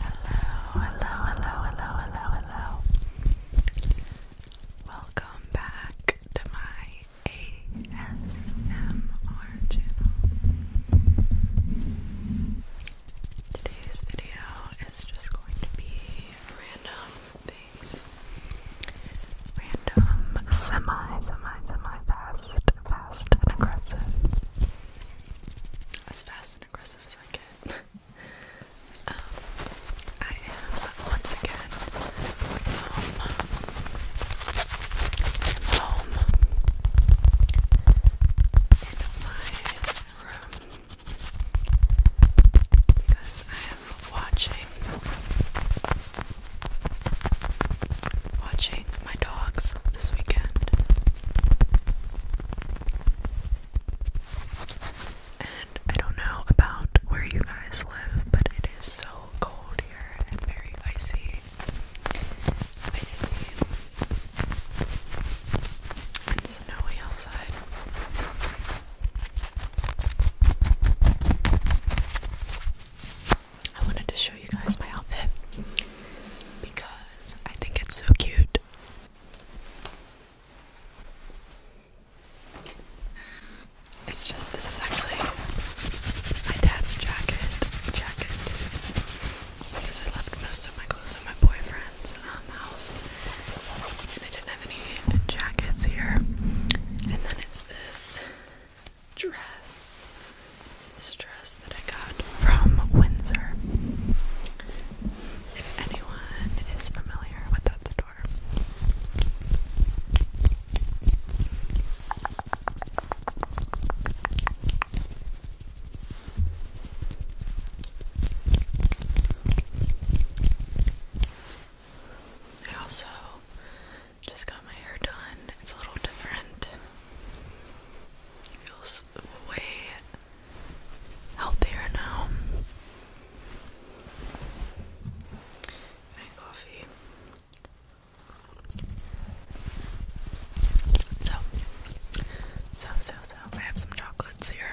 Hello, hello, hello, hello, hello, hello. Welcome back to my ASMR channel. Today's video is just going to be random things. Random, semi, semi, semi fast, fast and aggressive as fast and aggressive as I can. Um, I am once again home in my room because I am watching watching my dogs this weekend. And I don't know about where you guys live, but it is so cold here and very icy. Icy. snowy outside. I wanted to show you guys my outfit because I think it's so cute. It's just this is actually my dad's jacket jacket because I left most of my clothes at my boyfriend's um, house and I didn't have any jackets here. And then it's this dress this dress that I got from Windsor. If anyone is familiar with that store. I also just got my hair done. It's a little different feels way healthier now. My coffee. So, so, so, so, I have some chocolates here.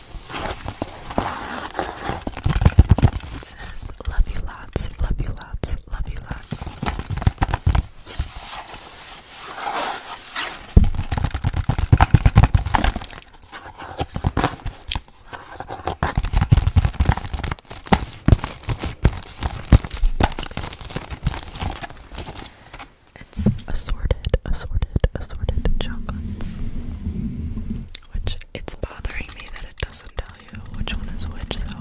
It says, love you lots, love you lots, love you lots. It's assorted, assorted, assorted chocolates. Which it's bothering me that it doesn't tell you which one is which, so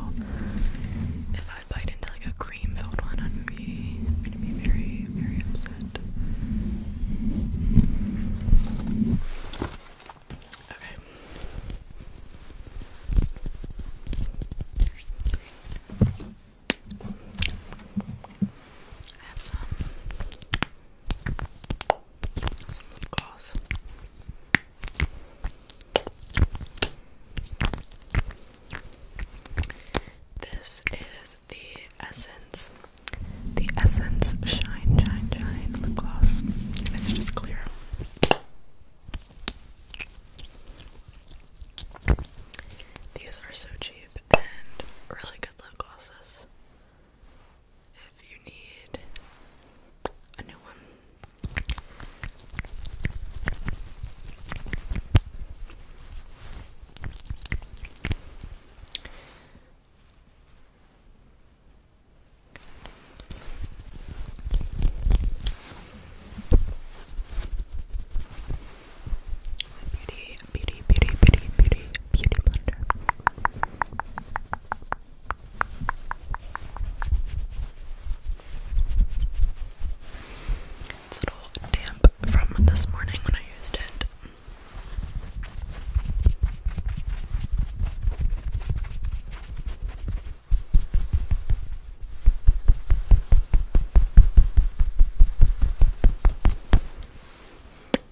if I bite into like a cream filled one, I'm gonna be, very, very upset. Okay. I have some this is the Essence, the Essence Shine Shine Shine lip gloss. It's just clear. These are so cheap and really good lip glosses if you need a new one. Beauty, beauty, beauty, beauty, beauty, beauty blender. It's a little damp from this morning when I used it.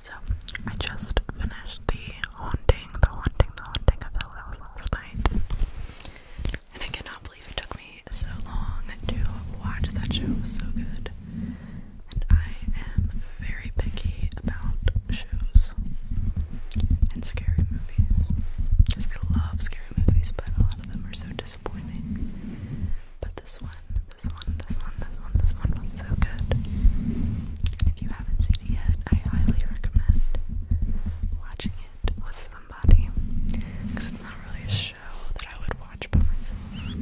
So I just finished the haunting, the haunting, the haunting of the House last night. And I cannot believe it took me so long to watch that show. so good. I am very picky about shows and scary movies because I love scary movies, but a lot of them are so disappointing. But this one, this one, this one, this one, this one was so good. if you haven't seen it yet, I highly recommend watching it with somebody because it's not really a show that I would watch by myself,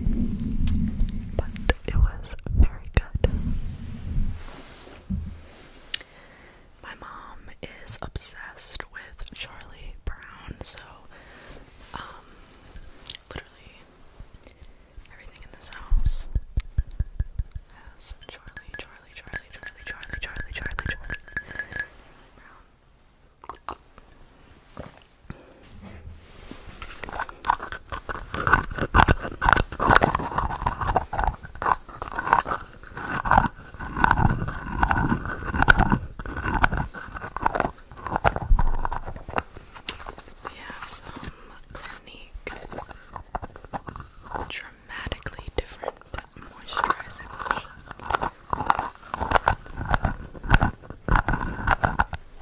but it was very good. My mom is obsessed with Charlie Brown, so um, literally everything in this house has Charlie, Charlie, Charlie, Charlie, Charlie, Charlie, Charlie, Charlie Brown. We have some Clinique dramatically different but moisturizing lotion.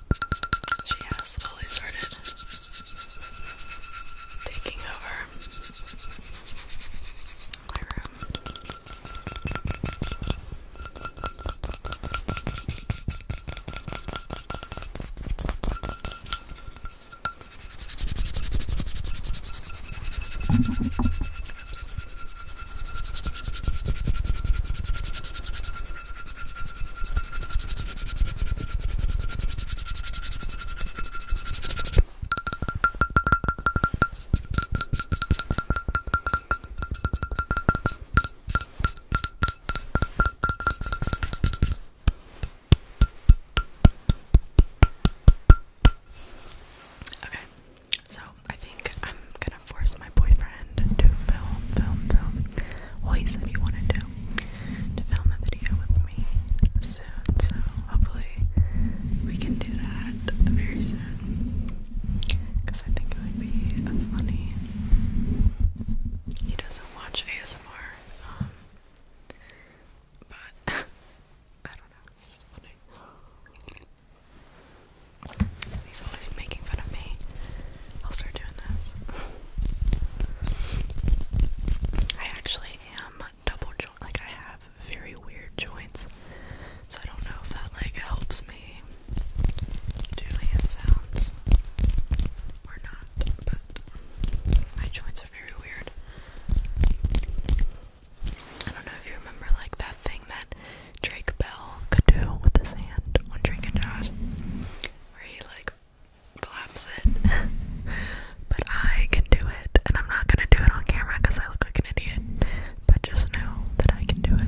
She has slowly started taking over my room. Okay, so I think I'm gonna force my boyfriend to film, film, film well he said he wanted to to film a video with me soon so hopefully we can do that very soon because I think it would be funny he doesn't watch ASMR um, but I don't know it's just funny He's always making fun of me I'll start doing this. I actually am double joint, like I have very weird joints, so I don't know if that like helps me do sounds or not, but my joints are very weird. I don't know if you remember like that thing that Drake Bell could do with his hand on Drake Josh, where he like collapse it. but I can do it, and I'm not gonna do it on camera I look like an idiot. But just know that I can do it.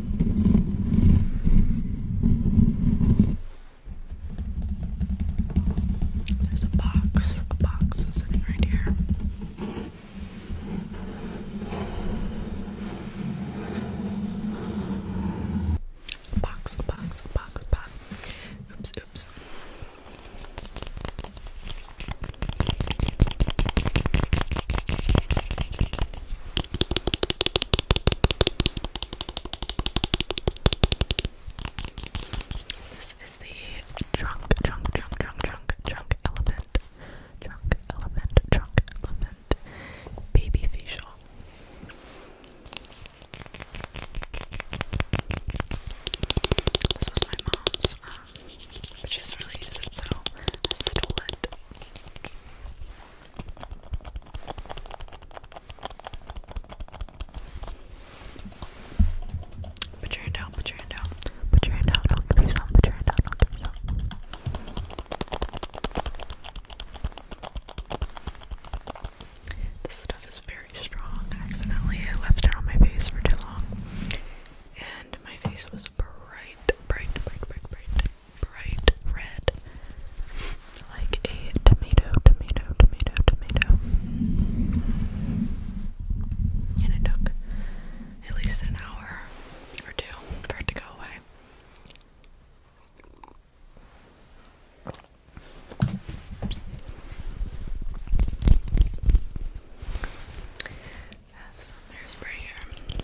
There's a box, a box is sitting right here. box, a box, a box, a box. Oops, oops. This is the trunk, trunk, trunk, trunk, trunk, trunk elephant, trunk elephant, trunk elephant, baby facial. This was my mom's, um, but she doesn't really use it, so I stole it. Put your hand down, put your hand down. Put your hand down, I'll give you some. Put your hand down, I'll give you some. This stuff is very strong. I left it on my face for too long. And my face was bright, bright, bright, bright, bright bright red, like a tomato, tomato, tomato, tomato. And it took at least an hour or two for it to go away. Have some hairspray here.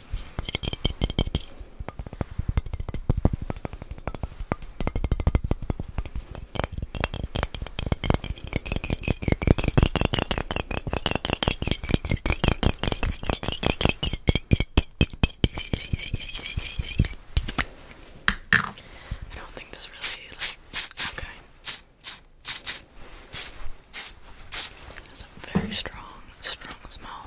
I don't think this really like okay. It's a very strong, strong smell.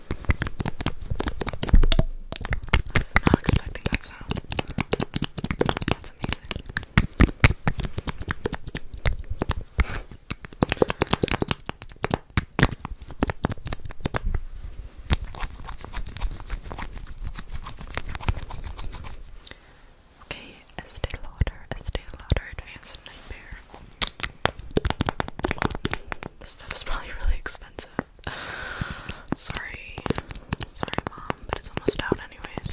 not expecting that sound. That's amazing. okay, Estee Lauder, Estee Lauder Advanced Nightmare. This stuff is probably really expensive. Sorry. Sorry, Mom, but it's almost out, anyways.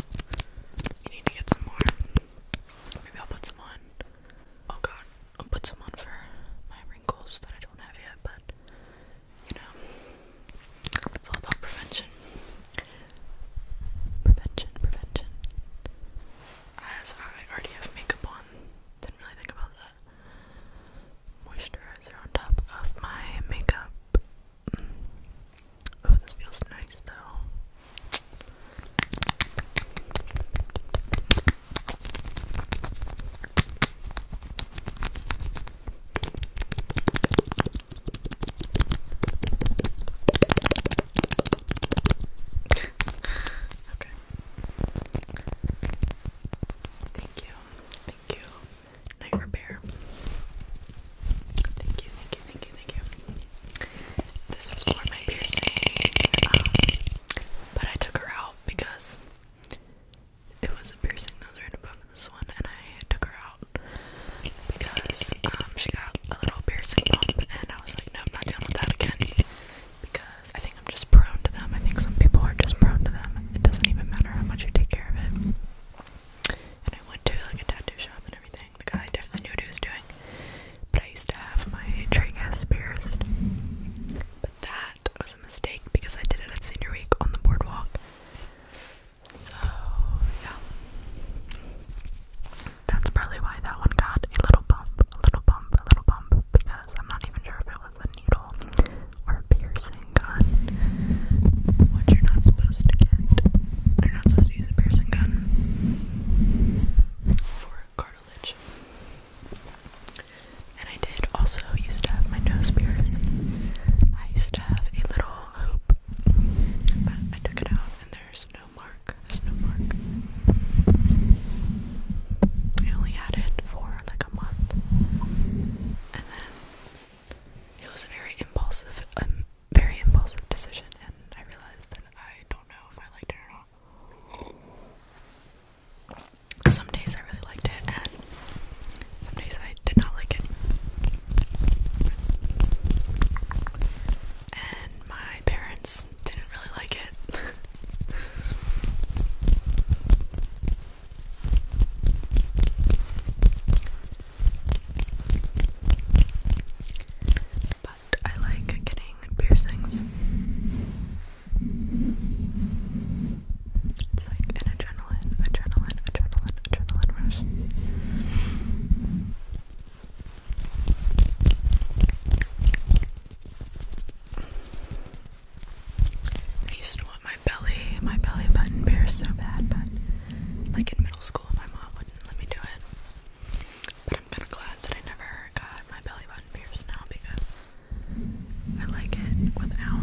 You need to get some more. Maybe I'll put some on. Oh, God. I'll put some on for my wrinkles that I don't have yet, but you know, it's all about prevention. Prevention, prevention. As I already have makeup on, didn't really think about moisturizer on top of my makeup. Mm. Oh, this feels nice though. okay. Thank you. Thank you. Night repair. Thank you, thank you, thank you, thank you. This was for my piercing. Um, but I took her out because it was a piercing that was right above this one, and I took her out because um, she got a little piercing bump, and I was like, nope, not dealing with that again. Because I think I'm just prone to them. I think some people are just prone to them. It doesn't even matter how much you take care of it. And I went to like a tattoo shop and everything. The guy definitely knew what he was doing. But I used to have my tragus pierced. But that was a mistake because I did it at senior week on the boardwalk. So yeah. That's probably why that one got a little bump, a little bump, a little bump, because I'm not even sure if it was with a needle or piercing gun, which you're not supposed to get. You're not supposed to use a piercing gun for cartilage. And I did also used to have my nose pierced. I used to have a little hoop, but I took it out and there's no mark. There's no mark. I only had it for like a month. And then it was a very impulsive, um, very impulsive decision, and I realized that I don't know if I liked it or not. Some days I really liked it, and some days I did not like it. And my parents didn't really like it. But I like getting piercings. It's like an adrenaline, adrenaline, adrenaline, adrenaline rush. I used to want my my belly, my belly button pierced so bad, but like in middle school, my mom wouldn't let me do it. But I'm kind of glad that I never got my belly button pierced now because I like it without.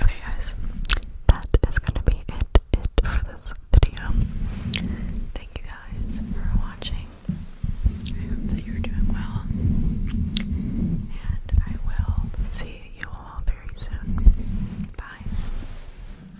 Okay, guys, that is gonna be it, for this video. Thank you guys for watching. I hope that you're doing well, and I will see you all very soon. Bye.